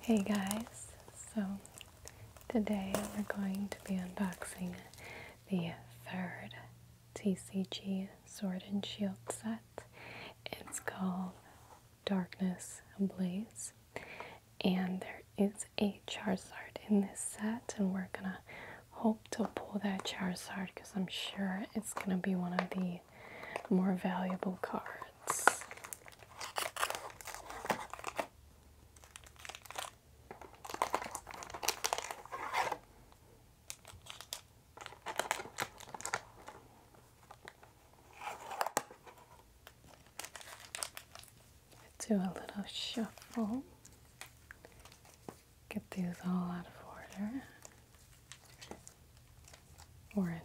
Hey guys, so today we're going to be unboxing the third TCG Sword and Shield set. It's called Darkness Blaze, and there is a Charizard in this set, and we're going to hope to pull that Charizard because I'm sure it's gonna be one of the more valuable cards. Do a little shuffle get these all out of order or in order.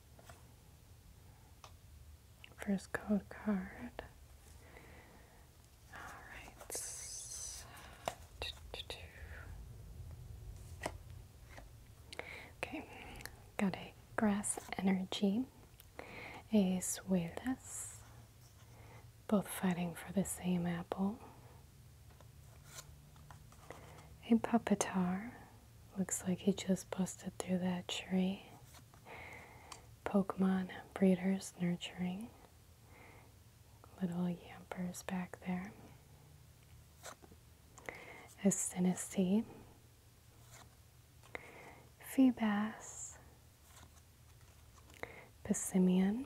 First code card. All right. Okay, got a grass energy, a suelas, both fighting for the same apple, a puppetar, Looks like he just busted through that tree. Pokemon breeders nurturing. Little yampers back there. A Sinistee. Feebas. Pissimian.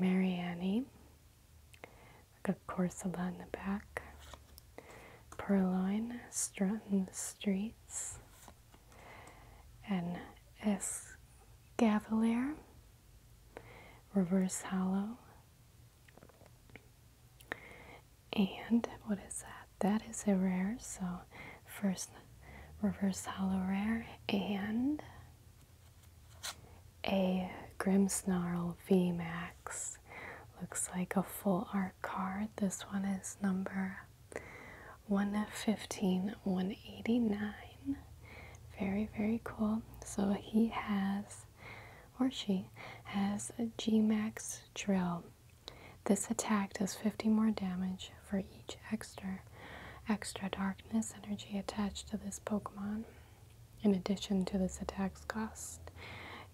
Mariani a corsola in the back, purloin strutting the streets, an escavalier, reverse hollow, and what is that? That is a rare, so first reverse hollow rare and a V Max Looks like a full art card. This one is number 115, 189. Very, very cool. So he has, or she, has a G Max drill. This attack does 50 more damage for each extra extra darkness energy attached to this Pokemon. In addition to this attack's cost,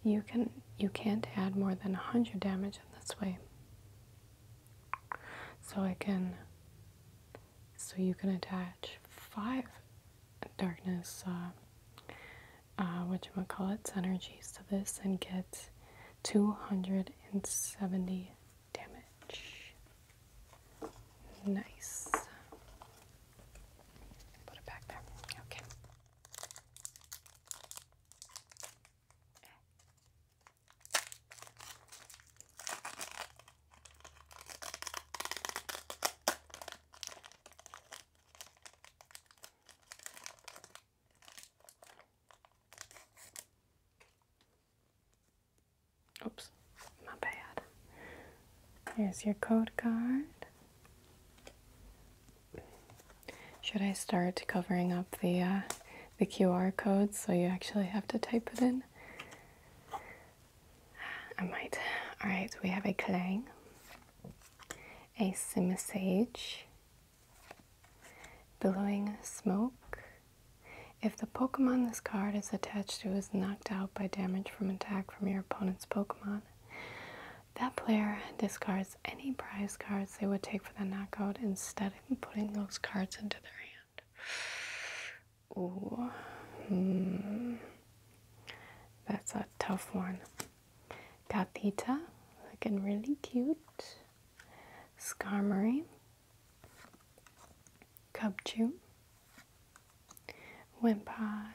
you can you can't add more than 100 damage in this way. So I can so you can attach five darkness uh, I'm uh, gonna call its energies to this and get 270 damage. Nice. Put it back there. Okay. Oops, my bad. Here's your code card. Should I start covering up the uh, the QR code so you actually have to type it in? I might. All right, we have a Clang, a Simisage, Billowing Smoke. If the Pokemon this card is attached to is knocked out by damage from attack from your opponent's Pokemon, that player discards any prize cards they would take for the knockout instead of putting those cards into their hand. Ooh. Hmm. That's a tough one. Kathita, looking really cute. Skarmory. Cubchoo. Wimpod.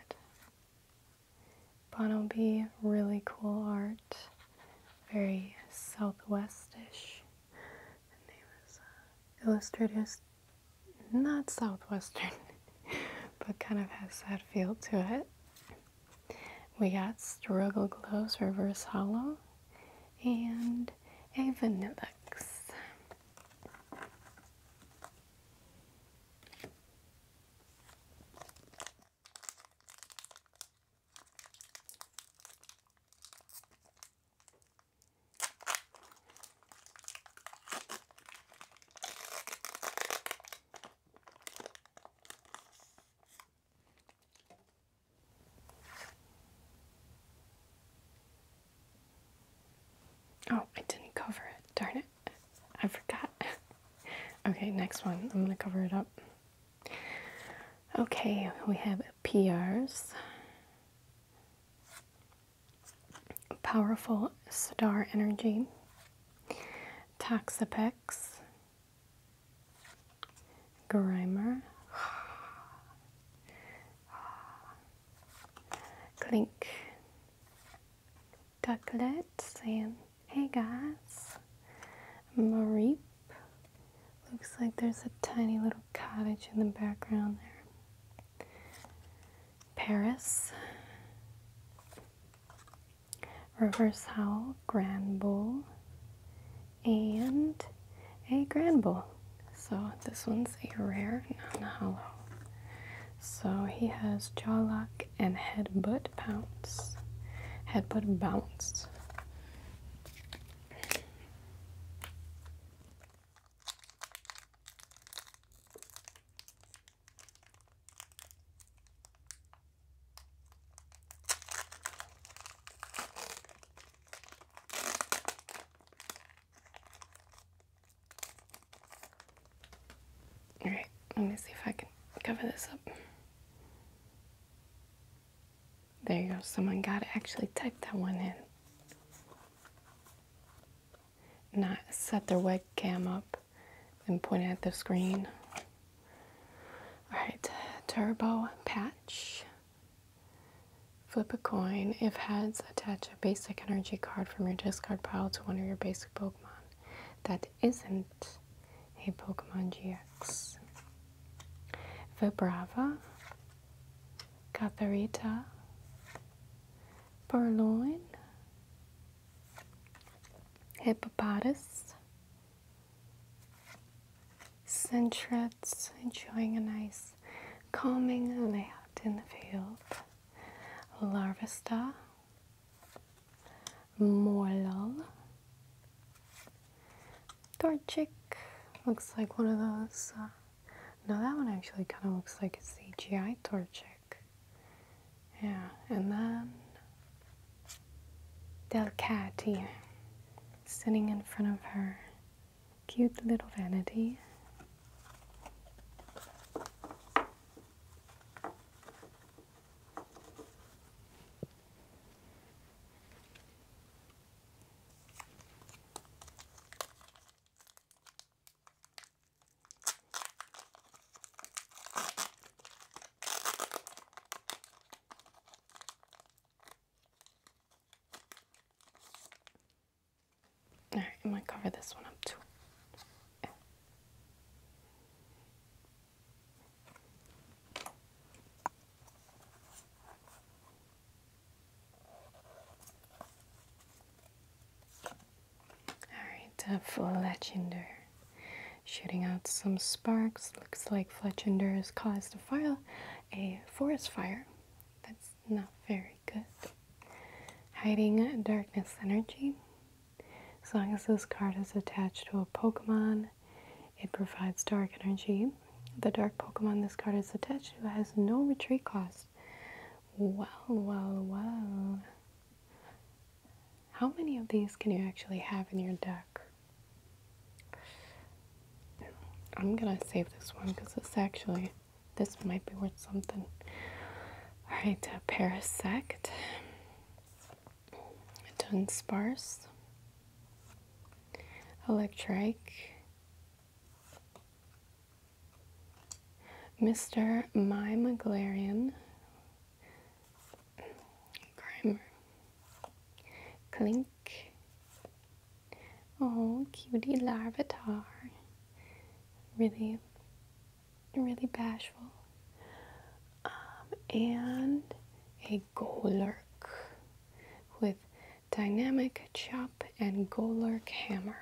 Bonobi, really cool art, very southwestish. And he was not southwestern, but kind of has that feel to it. We got Struggle Glows Reverse Hollow and a Vanillix. Oh, I didn't cover it, darn it. I forgot. okay, next one. I'm gonna cover it up. Okay, we have PRs. Powerful Star Energy, Toxapex, Grimer, Clink, Ducklet saying, hey guys. Mareep. Looks like there's a tiny little cottage in the background there. Paris. Reverse Howl, Granbull, and a Granbull. So this one's a rare non-hollow. So he has Jawlock back and headbutt pounce. Headbutt bounce. Alright, let me see if I can cover this up. There you go, someone got to Actually type that one in. Not set their webcam up and point at the screen. Alright, turbo patch. Flip a coin. If heads, attach a basic energy card from your discard pile to one of your basic Pokemon that isn't a Pokemon GX. Vibrava, Catharita, Purloin, Hippopotas, Centrets, enjoying a nice calming layout in the field, Larvesta, Moral. love. Torchic looks like one of those. Uh, no, that one actually kind of looks like a CGI Torchic. Yeah, and then Delcati sitting in front of her cute little vanity. All right, might cover this one up too. Alright, uh, Fletchender. Shooting out some sparks. Looks like Fletchender has caused a fire, a forest fire. That's not very good. Hiding darkness energy. As long as this card is attached to a Pokemon, it provides dark energy. The dark Pokemon this card is attached to has no retreat cost. Wow, wow, wow. How many of these can you actually have in your deck? I'm gonna save this one because it's actually, this might be worth something. All right, uh, Parasect, Dunsparce, Electric, Mr. My Maglarian, Grimer, Clink, Oh, cutie Larvatar, Really really bashful. Um, and a Golurk with dynamic chop and Golurk hammer.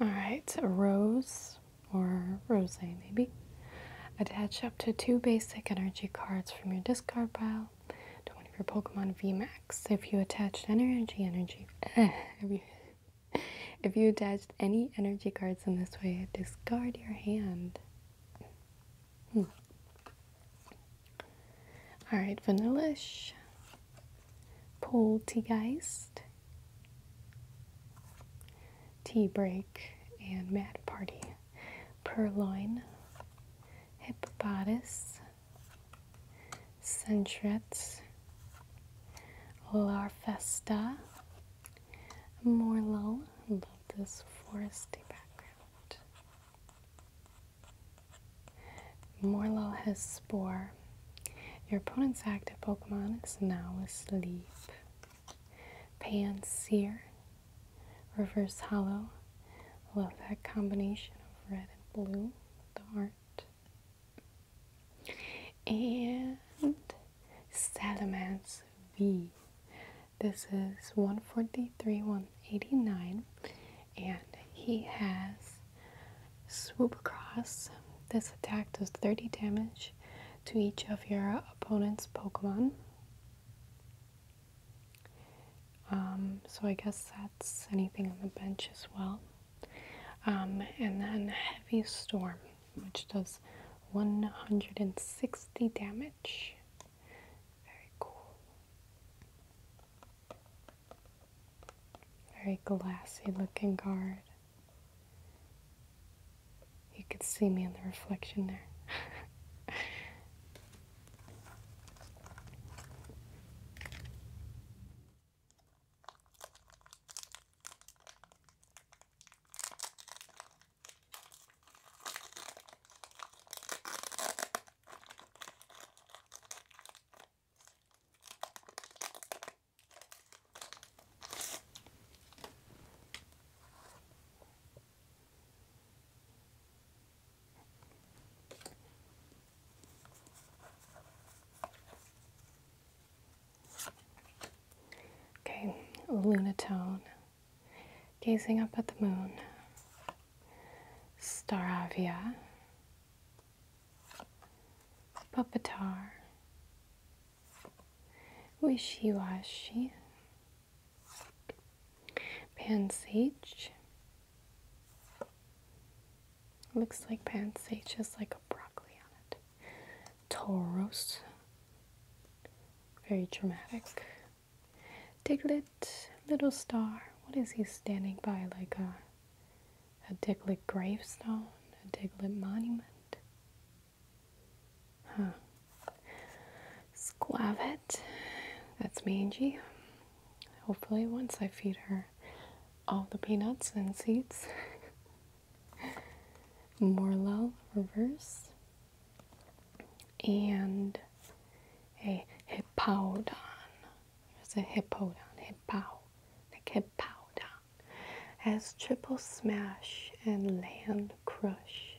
All right, rose or rose, maybe. Attach to two basic energy cards from your discard pile to one of your Pokemon VMAX. If you attached energy energy if you attached any energy cards in this way, discard your hand. Hmm. Alright, Vanillish, Poltegeist, Tea Break, and Mad Party purloin, hippopotamus, centrets, larvesta, morlul. love this foresty background. Morlul has spore. Your opponent's active Pokemon is now asleep. Pan Reverse Hollow. Love that combination of red and blue, the art. And Salamance V. This is 143, 189, and he has Swoop across. This attack does 30 damage to each of your opponent's Pokemon. Um, so I guess that's anything on the bench as well. Um, and then Heavy Storm, which does 160 damage. Very cool. Very glassy looking guard. You could see me in the reflection there. Okay, lunatone, gazing up at the moon, staravia, puppetar, wishy-washy, Pansage. Looks like pansage has like a broccoli on it. Tauros. Very dramatic. Diglett, little star. What is he standing by? Like a a Diglett gravestone, a Diglett monument? Huh. Squavet, that's me, Hopefully, once I feed her all the peanuts and seeds. Morlul reverse and a hippodon. There's a hippodon, hippo, like hippodon. Has triple smash and land crush.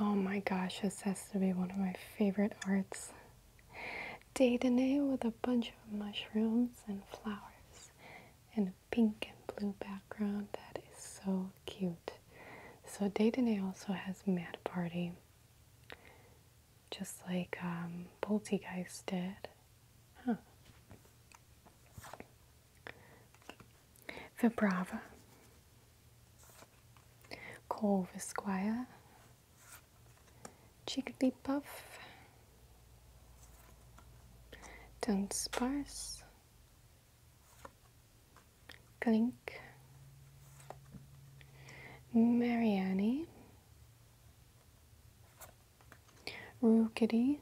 Oh my gosh, this has to be one of my favorite arts. Daytonay with a bunch of mushrooms and flowers and a pink and blue background. That is so cute. So Daytonay also has Mad Party just like um, Poltergeist did. Huh. Vibrava, Cole Esquire, Jigglypuff, Dunsparce, Glink, Mariani, Rue Kitty.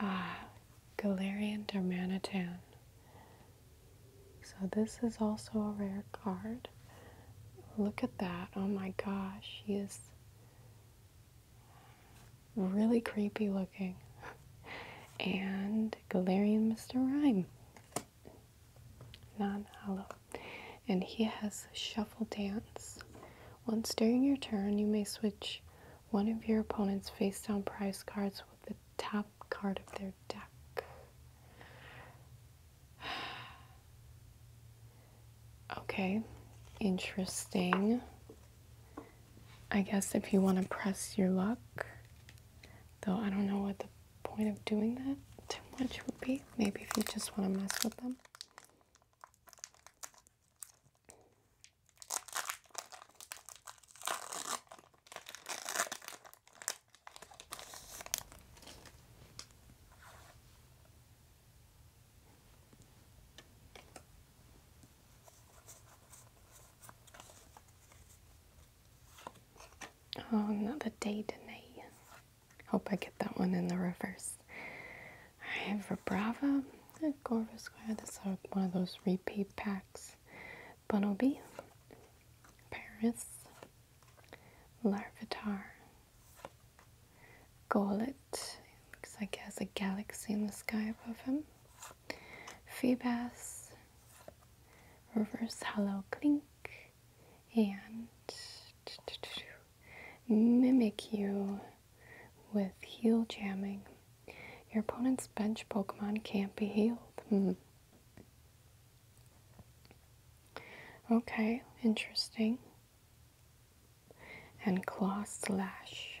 Ah, Galarian Dermanitan. So this is also a rare card. Look at that. Oh my gosh, he is really creepy looking. and Galarian Mr. Rhyme non hollow. And he has shuffle dance. Once during your turn, you may switch one of your opponent's face down prize cards with the top card of their deck. okay, interesting. I guess if you want to press your luck, though I don't know what the point of doing that too much would be. Maybe if you just want to mess with them. Oh, another the day today. Hope I get that one in the reverse. I have a Brava, Corvus Square. That's one of those repeat packs. Bunnelby, Paris, Larvitar, Golet. Looks like he has a galaxy in the sky above him. Phoebas, Reverse Hollow klink and mimic you with heal jamming. Your opponent's bench Pokemon can't be healed. Hmm. Okay, interesting. And claw slash.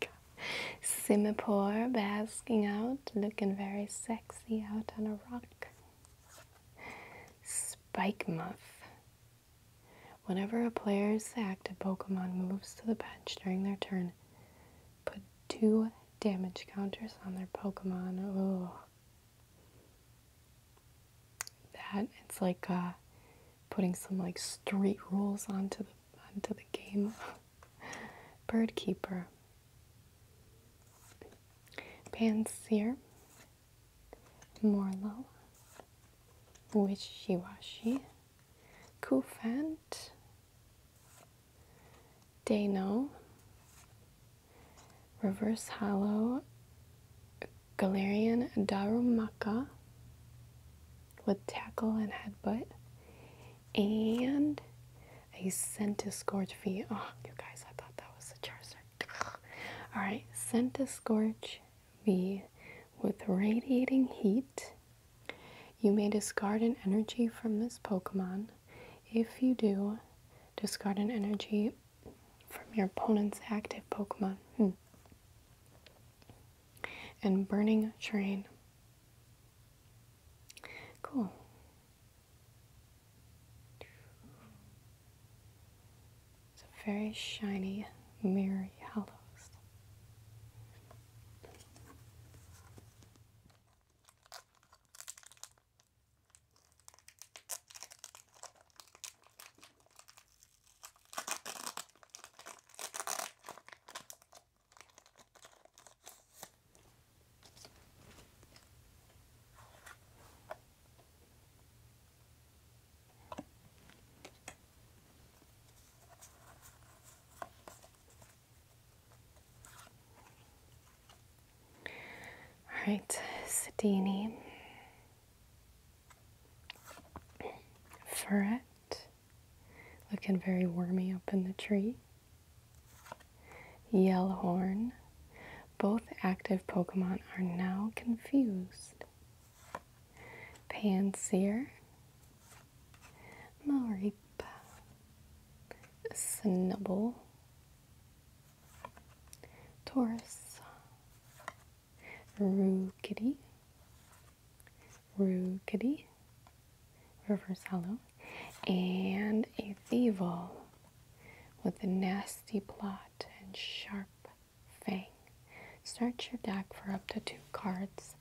Simipore basking out, looking very sexy out on a rock. Spike Muff. Whenever a player's active Pokemon moves to the bench during their turn, put two damage counters on their Pokemon. Oh. That, it's like uh, putting some like street rules onto the onto the game. Bird keeper. Panseer. Morlow. Wishiwashi. Kufant. Dano. Reverse Hollow. Galarian Darumaka with tackle and headbutt, and a Centiscorch V. Oh, you guys, I thought that was a Charizard. Alright, Centiscorch V with Radiating Heat. You may discard an energy from this Pokemon. If you do, discard an energy from your opponent's active Pokemon. Hmm. And Burning train. Cool. It's a very shiny mirror yellows. All right, Sedini, Ferret, looking very wormy up in the tree. Horn, Both active Pokemon are now confused. Panseer. Mareep. Snubble. Taurus. Roo Rookity, reverse hollow, and a Thievul with a nasty plot and sharp fang. Search your deck for up to two cards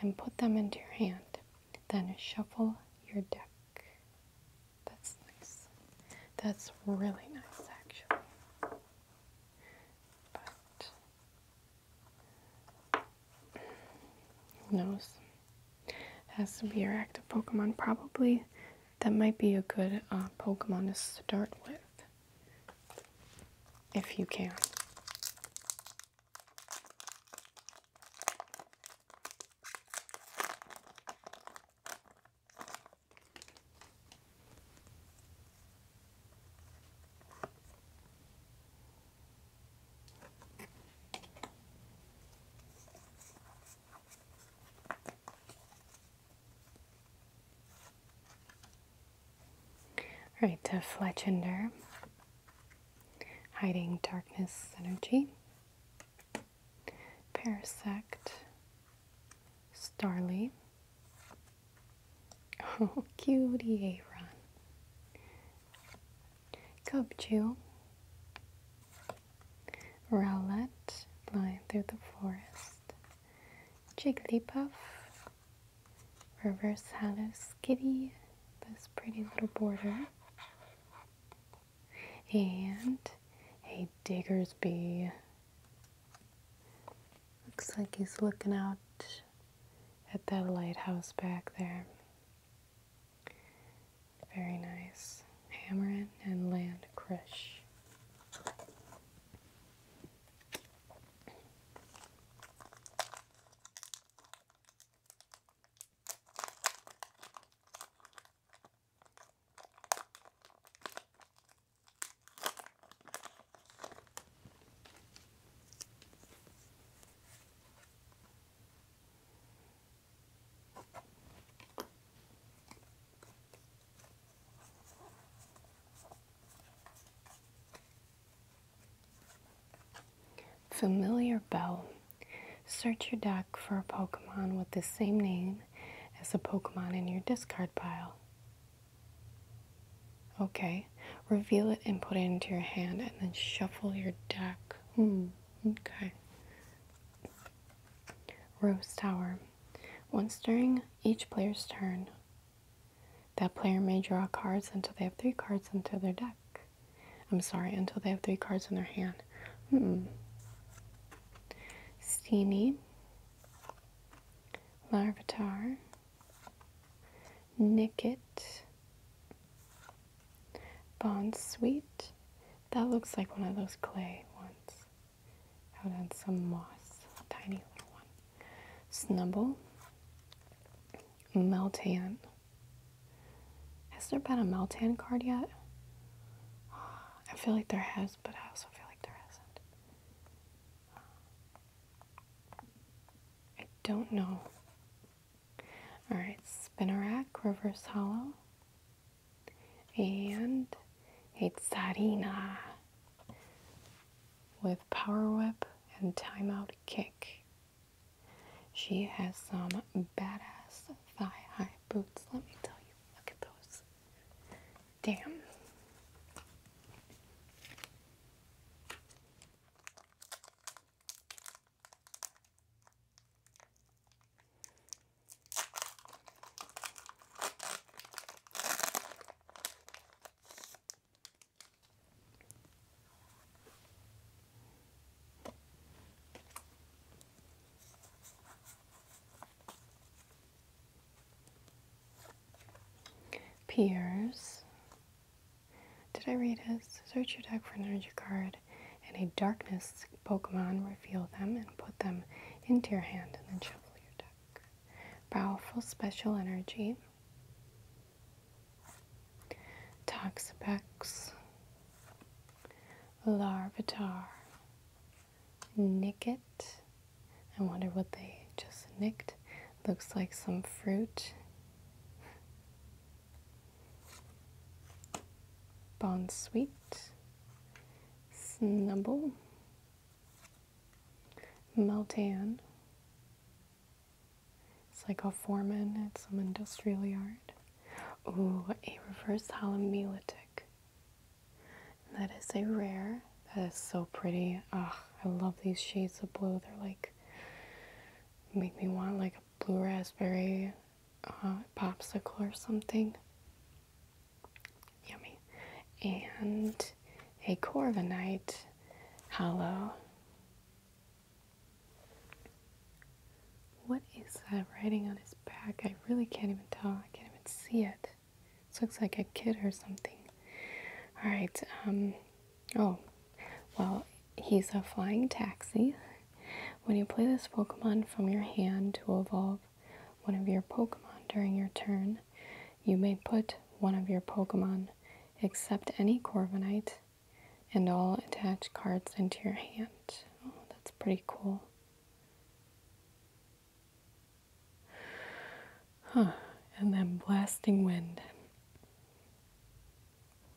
and put them into your hand. Then shuffle your deck. That's nice. That's really nice, actually. But who knows? Has to be your active Pokemon. Probably that might be a good uh, Pokemon to start with. If you can. Right to Fletchender, Hiding Darkness Energy, Parasect, Starly, oh, cutie Aaron, Gobju, Rowlet, Flying Through the Forest, puff, Reverse Hollow Skitty, this pretty little border, and a Diggersby. Looks like he's looking out at that lighthouse back there. Very nice. Hammer and land crush. Familiar Bell. Search your deck for a Pokemon with the same name as a Pokemon in your discard pile. Okay, Reveal it and put it into your hand and then shuffle your deck. Hmm. okay. Rose Tower. Once during each player's turn, that player may draw cards until they have three cards into their deck. I'm sorry, until they have three cards in their hand. Hmm. Steenie, Larvatar, Nicket, Bond Sweet. That looks like one of those clay ones. Out on some moss. Tiny little one. Snubble. Meltan. Has there been a Meltan card yet? Ah, I feel like there has, but I also feel like there hasn't. I don't know. All right, spinnerack, reverse hollow, and it's tsarina with power whip and timeout kick. She has some badass thigh high boots, let me tell you. Look at those. Damn. Peers. Did I read this? Search your deck for an energy card and a darkness Pokemon, reveal them and put them into your hand and then shuffle your deck. Powerful special energy. Toxapex. Larvitar. Nicket. I wonder what they just nicked. Looks like some fruit. Bon Sweet, Snubble, Meltan. It's like a foreman at some industrial yard. Ooh, a reverse holomelitic. That is a rare. That is so pretty. Ugh, I love these shades of blue. They're like, make me want like blue raspberry uh, popsicle or something. Yummy. And a Corviknight hollow. What is that writing on his back? I really can't even tell. I can't even see it. This looks like a kid or something. Alright, um, Oh, well, he's a flying taxi. When you play this Pokemon from your hand to evolve one of your Pokemon during your turn, you may put one of your Pokemon, except any Corviknight, and all attached cards into your hand. Oh, that's pretty cool. Huh, and then Blasting Wind.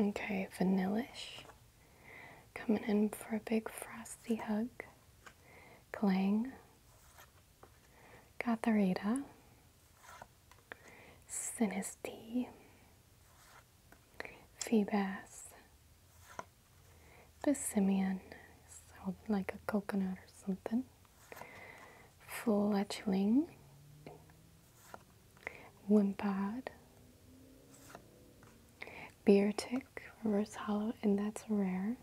Okay, vanilish. Coming in for a big frosty hug. Clang. Gotharita. Synesty, Phoebas, Persimmon, so like a coconut or something, Fletchling, Wimpod, Beer Tick, Reverse Hollow, and that's rare.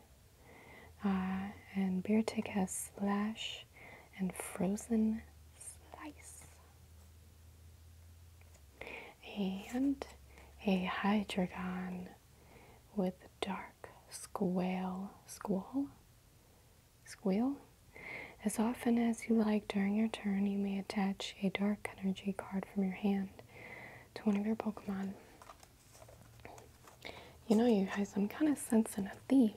Uh, and Beer Tick has Slash and Frozen Slice and a hydreigon with dark squall squall squeal. As often as you like during your turn, you may attach a dark energy card from your hand to one of your Pokemon. You know, you guys, I'm kind of sensing a thief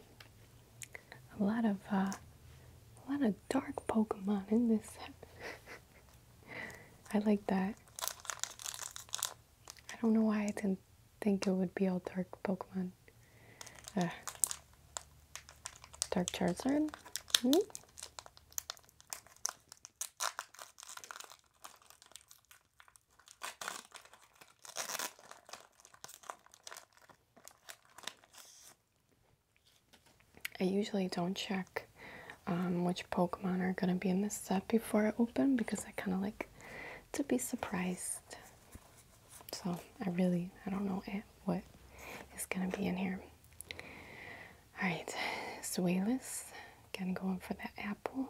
a lot of uh, a lot of dark Pokemon in this. I like that. I don't know why I didn't think it would be all dark Pokemon. dark Charizard. Hmm? I usually don't check um, which Pokemon are going to be in this set before I open because I kind of like to be surprised. So I really, I don't know what is going to be in here. Alright, Swalis, again going for that apple.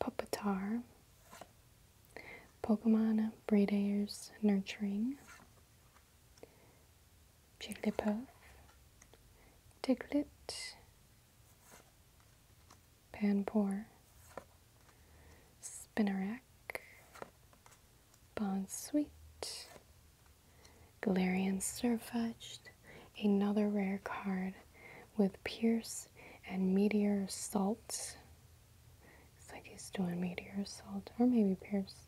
Pupitar, Pokemon Breeders Nurturing, Jigglypuff, Diglett, Panpour, Bon Sweet, Galarian Surfetched, another rare card with Pierce and Meteor Salt, it's like he's doing meteor assault or maybe Pierce.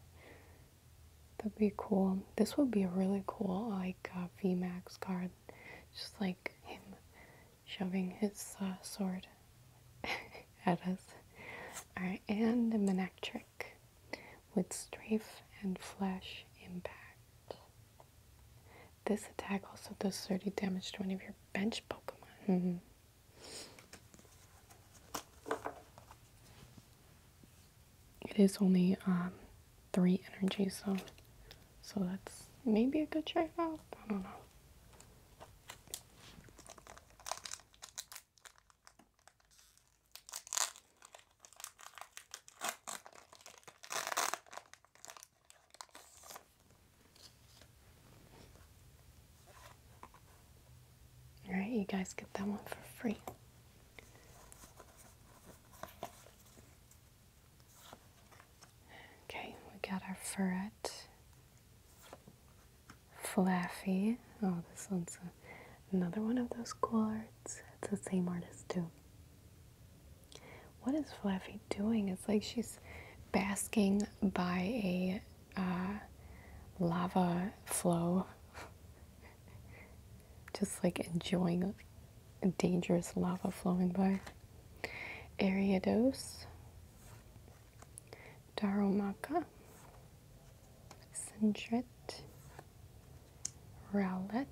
That'd be cool. This would be a really cool like uh, VMAX card. Just like him shoving his uh, sword at us. Alright, and the Manectric with strafe and flash impact. This attack also does 30 damage to one of your bench Pokemon. Mm-hmm. It is only um, three energy, so so that's maybe a good trade off. I don't know. All right, you guys get that one for free. Okay, we got our ferret. Fluffy. Oh, this one's another one of those cool arts. It's the same artist, too. What is Fluffy doing? It's like she's basking by a uh, lava flow. Just like enjoying a dangerous lava flowing by. Ariados, Daromaka, Sindret, Rowlet,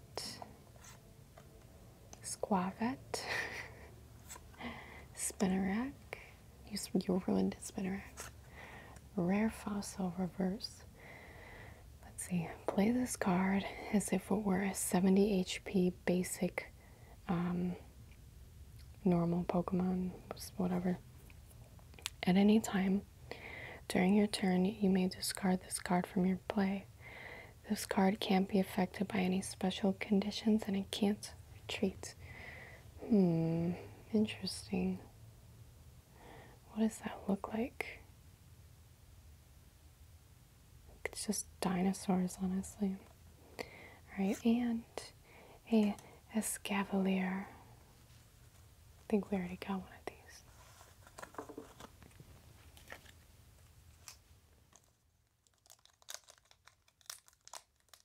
Squavet, Spinnerack, you, you ruined it, Spinarex. Rare fossil reverse. Let's see. Play this card as if it were a 70 HP basic um, normal Pokemon, whatever. At any time during your turn, you may discard this card from your play. This card can't be affected by any special conditions and it can't retreat. Hmm, interesting. What does that look like? It's just dinosaurs, honestly. Alright, and a Escavalier. I think we already got one of these.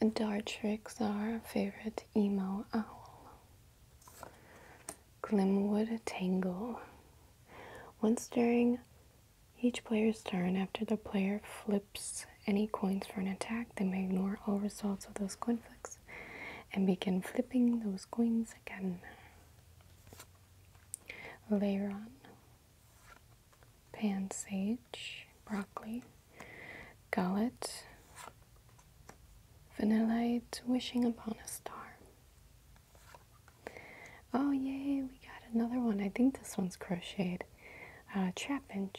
night. Dartrix, our favorite emo owl. Glimwood Tangle. Once during each player's turn, after the player flips any coins for an attack, they may ignore all results of those coin flips and begin flipping those coins again. Later on, Pansage, Broccoli gullet, vanillite, wishing upon a star. Oh, yay, we got another one. I think this one's crocheted. Uh, trapinch.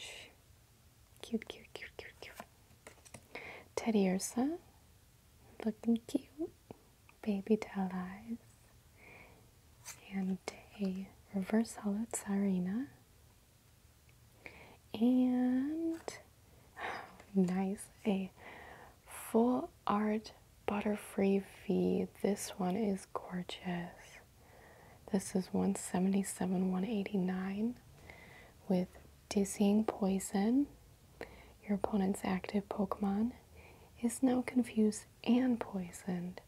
Cute, cute, cute, cute, cute. Teddy Ursa. Looking cute. Baby doll eyes. And a reverse hollow Sarina. And nice, a full art butterfree V. This one is gorgeous. This is 177 189 with Dizzying Poison. Your opponent's active Pokemon is now confused and poisoned,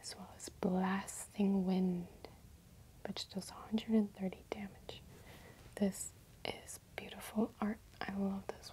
as well as Blasting Wind which does 130 damage. This is beautiful art. I love this one.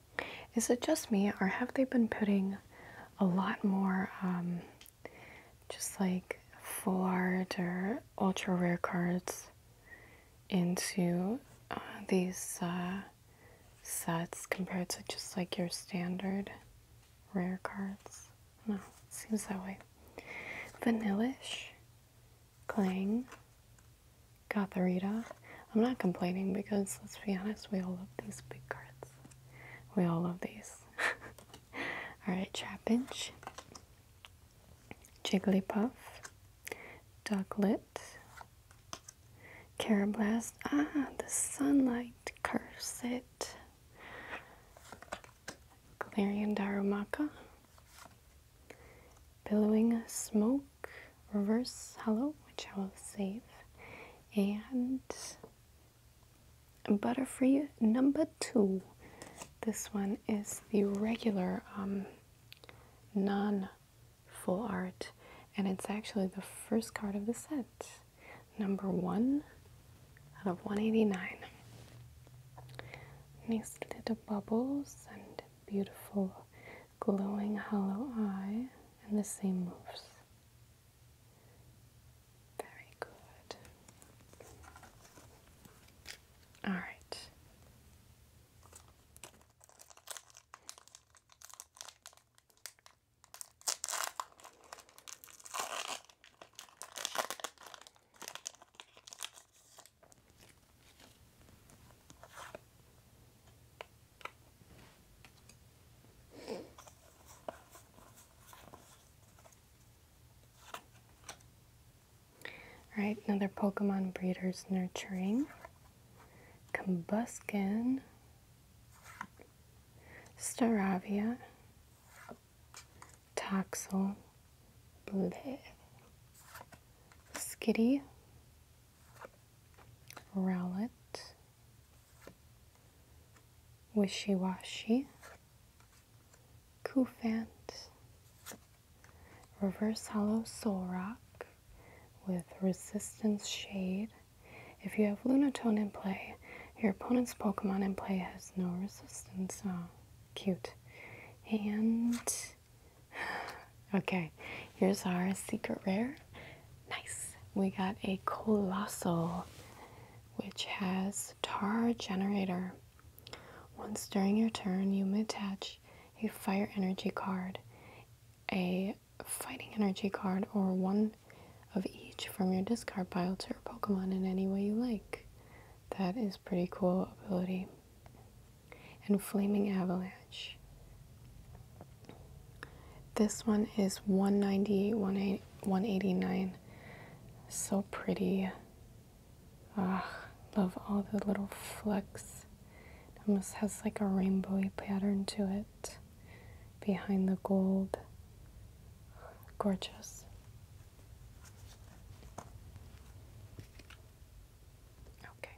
Is it just me, or have they been putting a lot more um, just like full art or ultra rare cards into uh, these uh, sets compared to just like your standard rare cards? No, it seems that way. Vanilish, Clang, Gotharita. I'm not complaining because let's be honest, we all love these big cards. We all love these. Alright, Trapinch, Jigglypuff, Ducklet, Carablast. Ah, the sunlight curse it. Galarian Darumaka, Billowing Smoke, Reverse Hollow, which I will save, and Butterfree number two. This one is the regular um, non full art, and it's actually the first card of the set, number one out of 189. Nice little bubbles and beautiful glowing hollow eye, and the same moves. Very good. All right. All right, another Pokemon Breeders Nurturing. Combuskin. Staravia. Toxel. Bleh. Skitty. Rowlet wishy-washy, Kufant, reverse hollow soul rock with resistance shade. If you have Lunatone in play, your opponent's Pokemon in play has no resistance. Oh, cute. And okay, here's our secret rare Nice. We got a Colossal, which has Tar Generator. Once during your turn, you may attach a Fire Energy card, a Fighting Energy card, or one of each from your discard pile to your Pokemon in any way you like. That is pretty cool ability. And Flaming Avalanche. This one is 198 189 So pretty. love all the little flecks. almost has like a rainbowy pattern to it behind the gold. Gorgeous. Okay.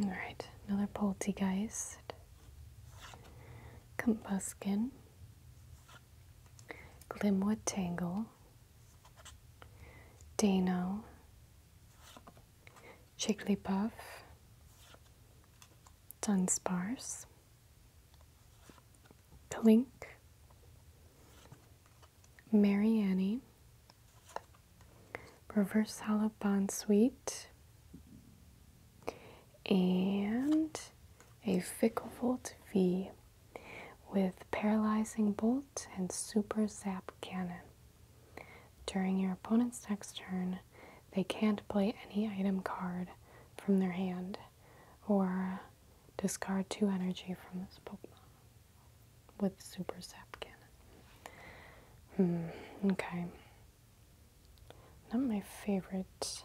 All right, another poltergeist. Combuskin. Glimwood Tangle. Dano. puff. Dunsparce, Clink, Mary Annie, Reverse Hollow Suite, and a Fickle Volt V with Paralyzing Bolt and Super Zap Cannon. During your opponent's next turn, they can't play any item card from their hand or discard two energy from this Pokemon with Super Zap Cannon. Hmm, okay. Not my favorite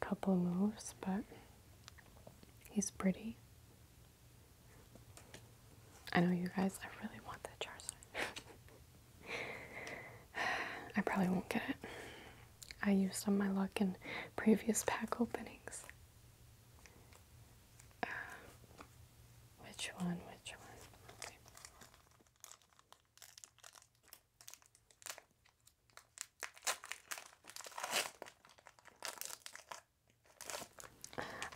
couple moves, but he's pretty. I know you guys, I really want that Charizard. I probably won't get it. I used on my luck in previous pack openings. Uh, which one? Which one?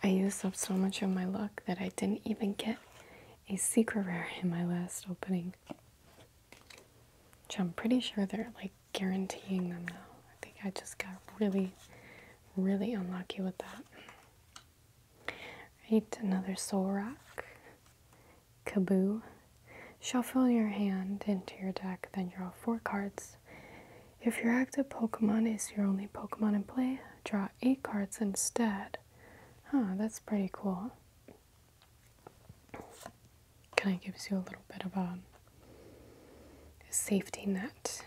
I used up so much of my luck that I didn't even get a secret rare in my last opening. Which I'm pretty sure they're like guaranteeing them now. I think I just got really, really unlucky with that. Right, another soul rock. Kaboo. Shuffle your hand into your deck, then draw four cards. If your active Pokemon is your only Pokemon in play, draw eight cards instead. Huh, that's pretty cool. Kind of gives you a little bit of a safety net.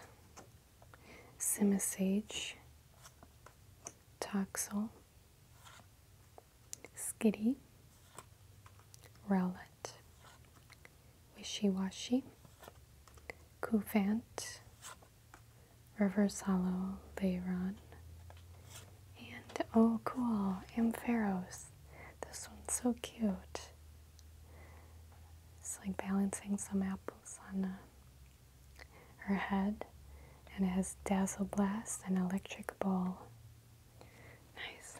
Simisage, Toxel, Skitty, Rowlet, Wishy Washy, Coufant, Reverse Hollow, they run. And oh, cool, Ampharos. This one's so cute. It's like balancing some apples on uh, her head. And it has Dazzle Blast and Electric Ball. Nice.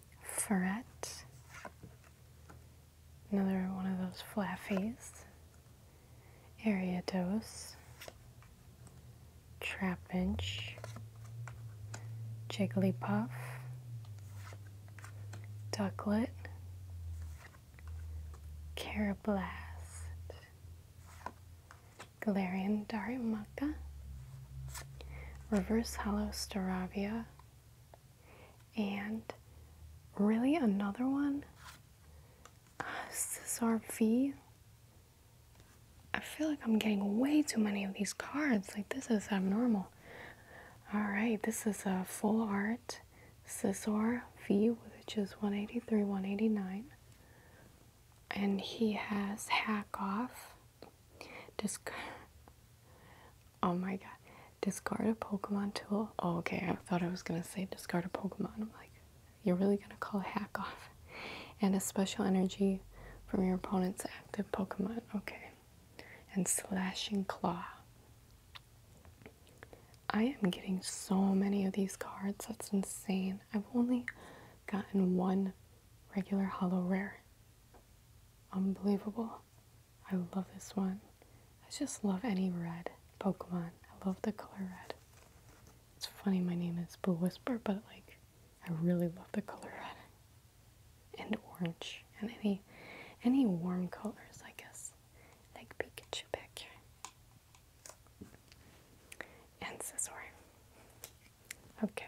ferret, another one of those flaffies, ariatos, trapinch, jigglypuff, ducklet, carablast, galarian darimaca, reverse hollow starabia, and really, another one? Uh, Cesar V. I feel like I'm getting way too many of these cards. Like, this is abnormal. Alright, this is a full art Cesar V, which is 183, 189. And he has Hack Off Discard. Oh my god. Discard a Pokemon tool. Oh, okay. I thought I was going to say discard a Pokemon. like, you're really going to call a hack off. And a special energy from your opponent's active Pokemon. Okay. And Slashing Claw. I am getting so many of these cards. That's insane. I've only gotten one regular hollow rare unbelievable. I love this one. I just love any red Pokemon. I love the color red. It's funny my name is Blue Whisper, but like I really love the color red and orange and any any warm colors, I guess. Like Pikachu Pikachu, And Scizor. Okay.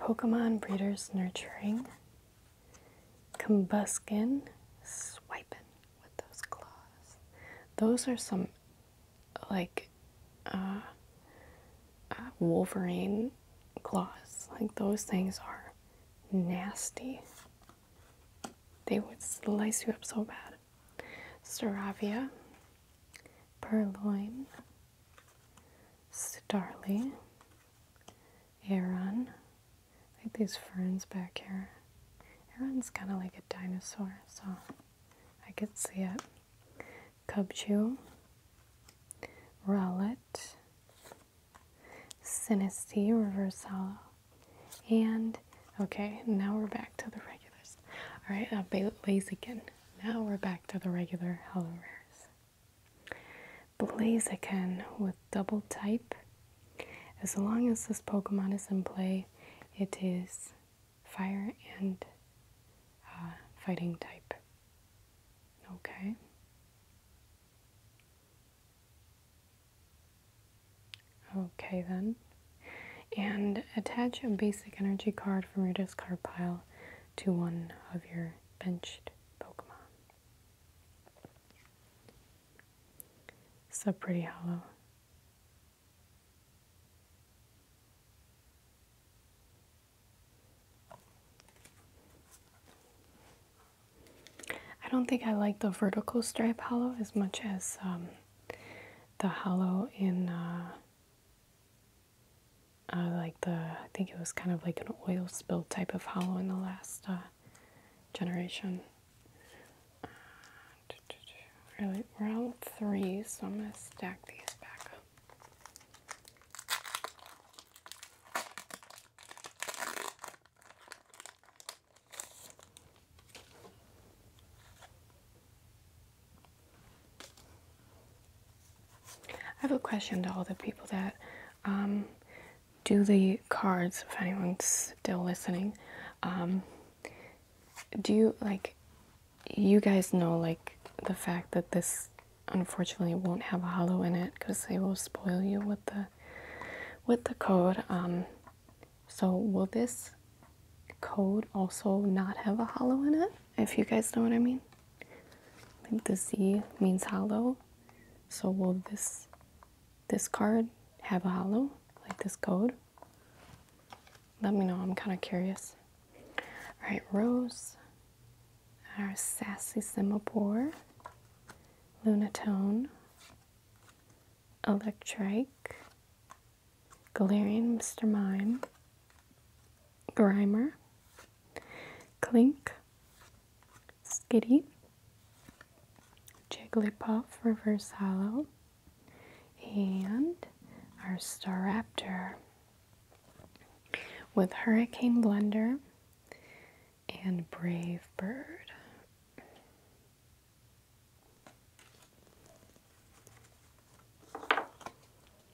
Pokemon Breeders Nurturing, Combuskin, Swiping with those claws. Those are some like uh, uh, Wolverine claws. Like those things are nasty. They would slice you up so bad. Seravia, Purloin, Starly, Aaron, I like these ferns back here. Aaron's kind of like a dinosaur, so I could see it. Cubchew, Rowlet, Sinisty, Reverse and okay, now we're back to the regulars. Alright, I'll uh, be lazy again. Now we're back to the regular Hello Rares. Blaze again with double type. As long as this Pokemon is in play, it is fire and uh, fighting type. Okay. Okay, then. And attach a basic energy card from your discard pile to one of your benched Pokemon. So pretty hollow. I don't think I like the vertical stripe hollow as much as um, the hollow in uh, uh, like the I think it was kind of like an oil spill type of hollow in the last uh, generation. Uh, Really, we three, so I'm gonna stack these back up. I have a question to all the people that um, do the cards, if anyone's still listening. Um, do you, like, you guys know, like, the fact that this unfortunately won't have a hollow in it because they will spoil you with the with the code um, so will this code also not have a hollow in it if you guys know what i mean I think the Z means hollow. So will this this card have a hollow like this code? Let me know. I'm kind of curious. All right, Rose, our sassy Semaphore, Lunatone, Electric, Galarian Mr. Mime, Grimer, Clink, Skitty, Jigglypuff Reverse and our Staraptor with Hurricane Blender and Brave Bird.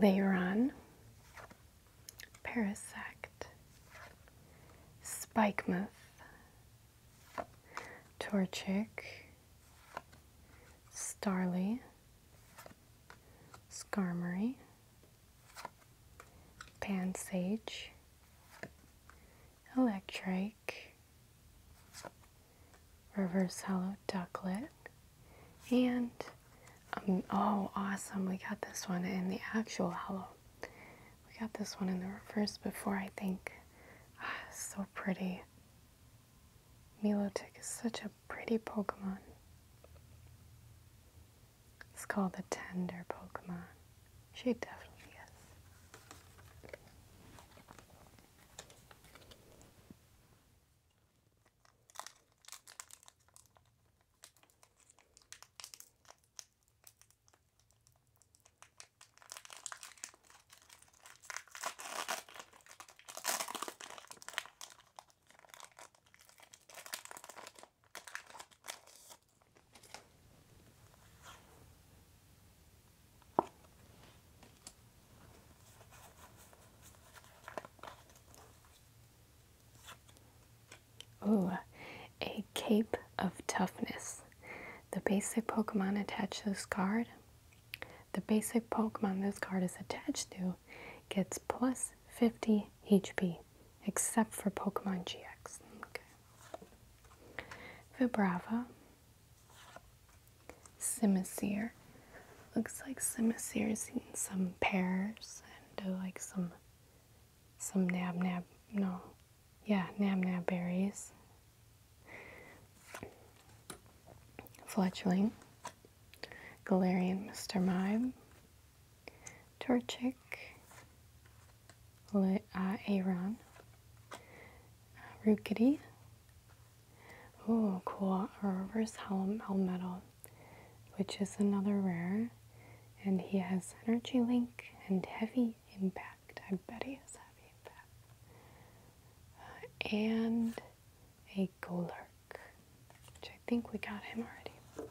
Later on, parasect, spikemuth, torchic, starly, skarmory, pansage, electric, reverse hollow ducklet, and um, oh, awesome! We got this one in the actual hollow. We got this one in the reverse before, I think. Ah, so pretty. Milotic is such a pretty Pokemon. It's called the tender Pokemon. She definitely is. Ooh, a Cape of Toughness. The basic Pokemon attached to this card. The basic Pokemon this card is attached to gets plus 50 HP, except for Pokemon GX. Vibrava, Simisear. Looks like Simisear has eaten some pears and uh, like some some nab nab no yeah nab nab berries. Fletchling, Galarian Mr. Mime, Torchic, Le, uh, Aron, Rookity. Oh, cool. A reverse Hel Metal, which is another rare. And he has Energy Link and Heavy Impact. I bet he has Heavy Impact. Uh, and a Golurk, which I think we got him already.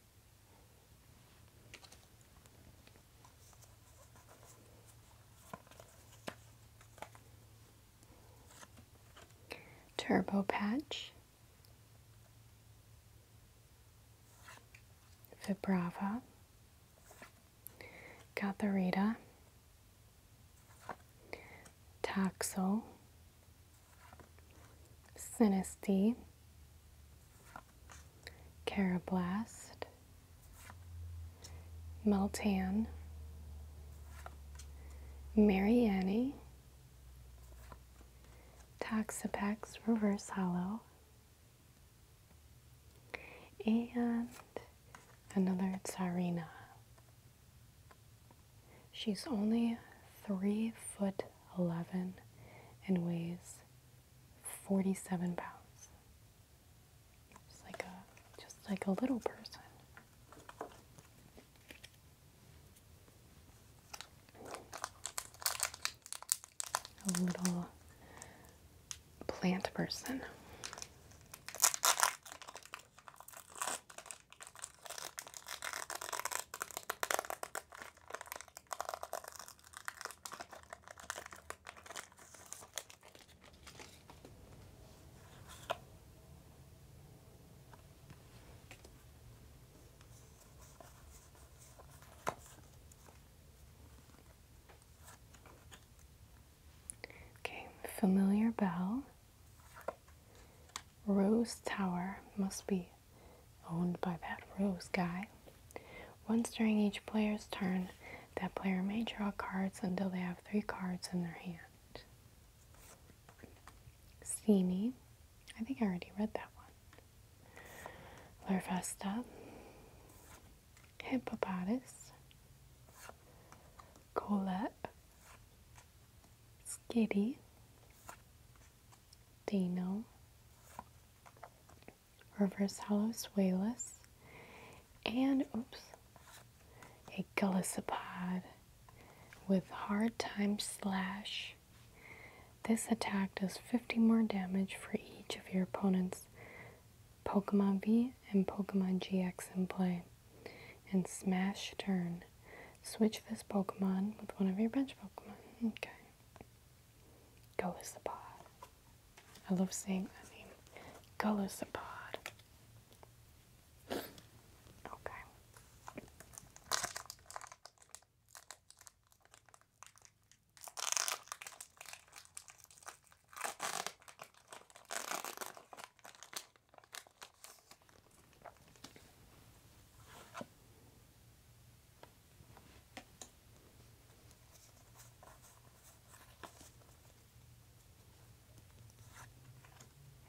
Turbo Patch, Vibrava, Gatherita, Taxo, Synesty, Carablast, Meltan, Mary Annie, Toxapex Reverse Hollow, and another Tsarina. She's only 3 foot 11 and weighs 47 pounds. Just like a, just like a little person. A little plant person. Okay, familiar bell. Rose Tower must be owned by that rose guy. Once during each player's turn, that player may draw cards until they have three cards in their hand. Steamy. I think I already read that one. Larvesta. Hippopotamus. Colette. Skitty. Dino reverse hollow swalus, and oops, a gullysopod with hard time slash. This attack does 50 more damage for each of your opponent's Pokemon V and Pokemon GX in play. And smash turn. Switch this Pokemon with one of your bench Pokemon. Okay. Go is the pod. I love saying that name. Go is the pod. Okay.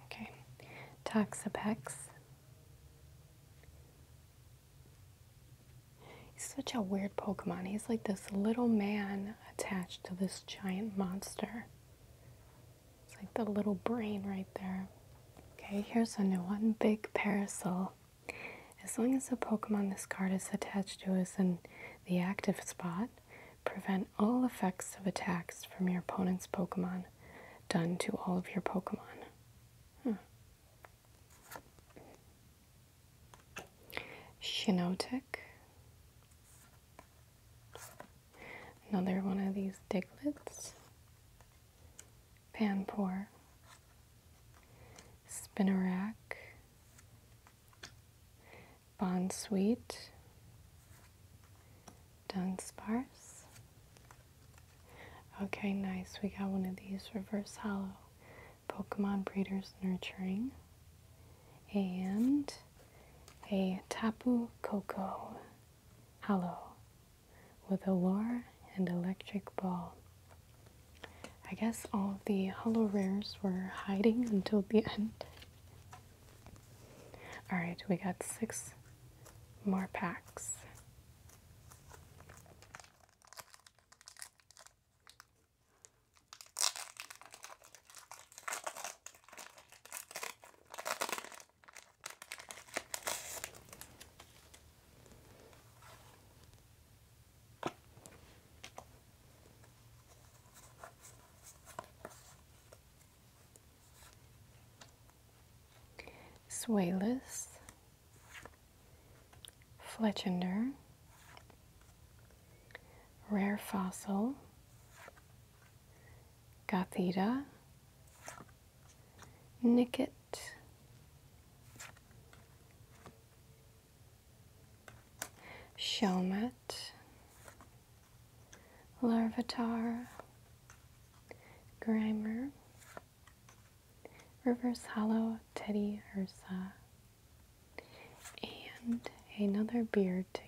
Okay, Toxapex. He's such a weird Pokemon. He's like this little man attached to this giant monster. It's like the little brain right there. Okay, here's only one, Big Parasol. As long as the Pokemon this card is attached to is in the active spot, prevent all effects of attacks from your opponent's Pokemon done to all of your Pokemon. Hmm. Shinotic. Another one of these Diglets. Panpour spinnerack, bond sweet, dunsparce. Okay, nice. We got one of these reverse hollow Pokemon Breeders Nurturing and a Tapu Koko hollow with a lure and electric ball. I guess all the hollow rares were hiding until the end. Alright, we got six more packs. Swayless, Fletchender, Rare Fossil, Gothita, Nicket, Shelmet, Larvatar, Grimer, Reverse Hollow Teddy Ursa, and another beard tick.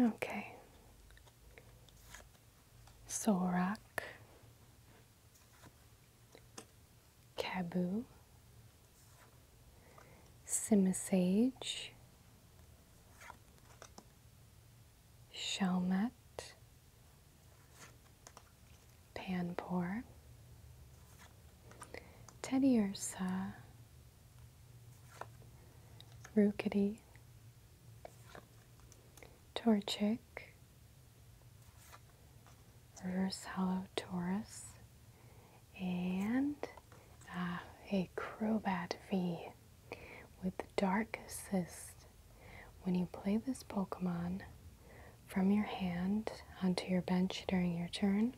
Okay. Sorak, Caboo, Simisage, Shalmet, Panpour, Teddy Ursa, Rookity, Torchic, Reverse Hollow Taurus, and uh, a Crobat V with Dark Assist. When you play this Pokemon from your hand onto your bench during your turn,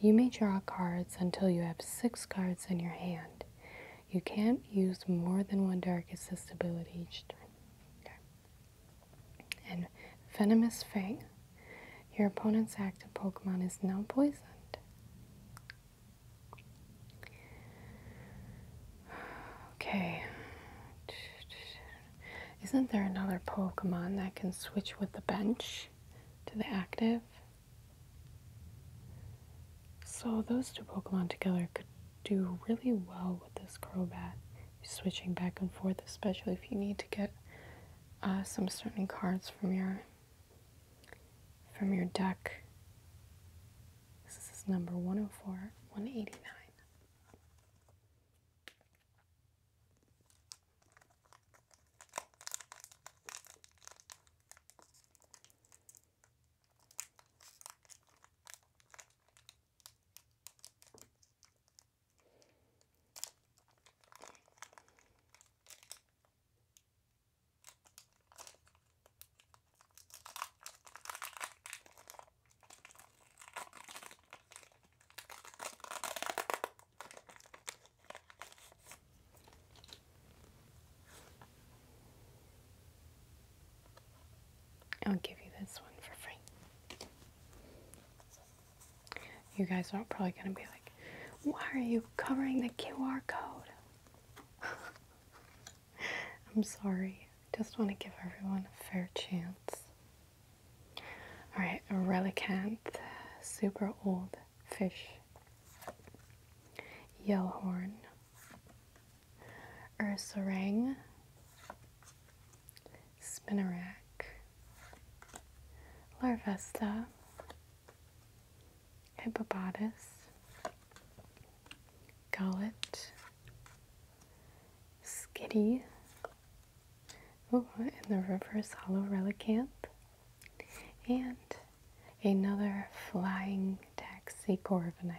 you may draw cards until you have six cards in your hand. You can't use more than one Dark Assist ability each turn. And Venomous Fang. Your opponent's active Pokemon is now poisoned. Okay. Isn't there another Pokemon that can switch with the bench to the active? So those two Pokemon together could do really well with this Crobat, switching back and forth, especially if you need to get uh, some certain cards from your from your deck. This is number 104, 189. I'll give you this one for free. You guys are probably going to be like, why are you covering the QR code? I'm sorry. I just want to give everyone a fair chance. Alright, a relicanth, super old fish, yellowhorn, ursaring, spinnerack, larvesta, hippopotamus, gullet, skitty, ooh, and the reverse hollow relicant, and another flying taxicorvinite.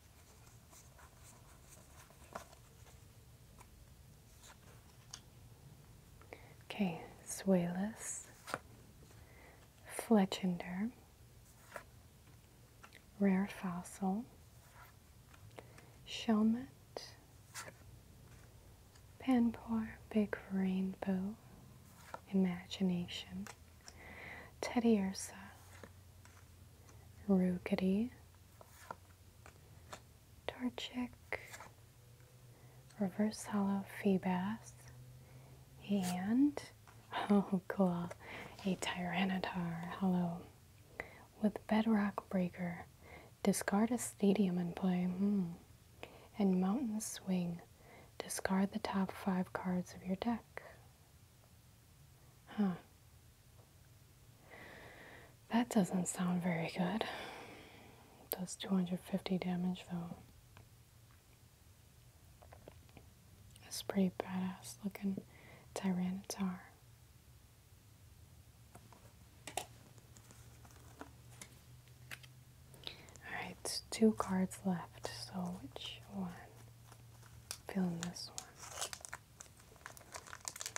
Okay, Suelis, Fletchender, Rare Fossil, Shellmet, Panpour, Big Rainbow, Imagination, Teddy Ursa, Rugity, Torchic, Reverse Hollow Feebas, and oh cool, a Tyranitar Hollow with Bedrock Breaker. Discard a stadium and play. Hmm. And Mountain Swing. Discard the top five cards of your deck. Huh. That doesn't sound very good. It does 250 damage though. That's pretty badass looking Tyrannitar. Alright, two cards left, so which one? Fill this one.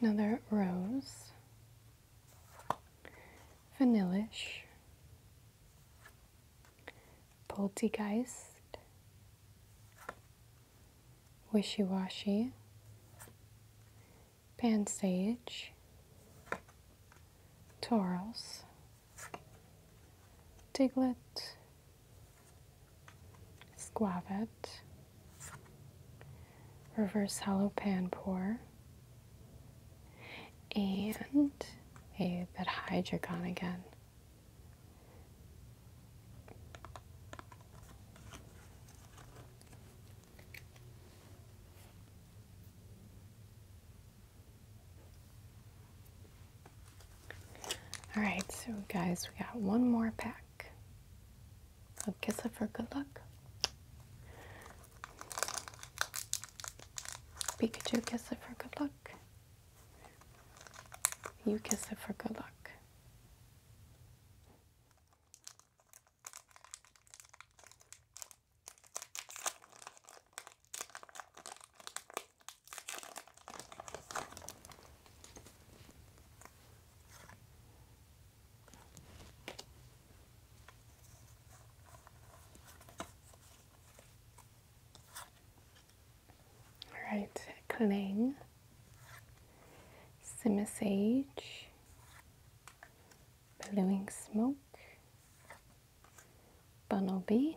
another rose, vanilish, poltergeist, wishy-washy, pansage, toros, diglet, Squavet, reverse hollow pan pour, and a that hydricon again. All right, so guys, we got one more pack back. So kiss it for good luck. Pikachu, kiss it for good luck. You kiss it for good luck. Right, Cling, Simmer Sage, Billowing Smoke, Bunnelby,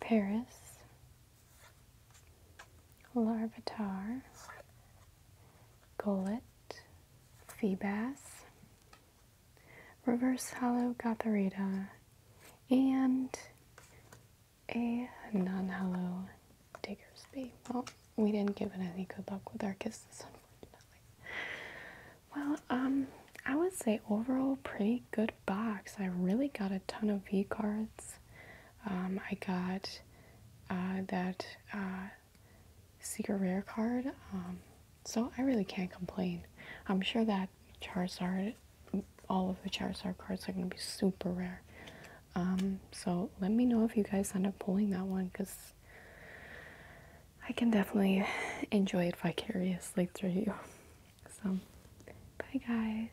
Paris, larvitar, gullet, sea reverse hollow gotharita, and a non-hollow diggersby. Well, we didn't give it any good luck with our kisses, unfortunately. Well, um, I would say overall pretty good box. I really got a ton of V cards. Um, I got uh, that uh, secret rare card. Um, so I really can't complain. I'm sure that Charizard, all of the Charizard cards are going to be super rare. Um, so let me know if you guys end up pulling that one because I can definitely enjoy it vicariously through you. So, bye guys.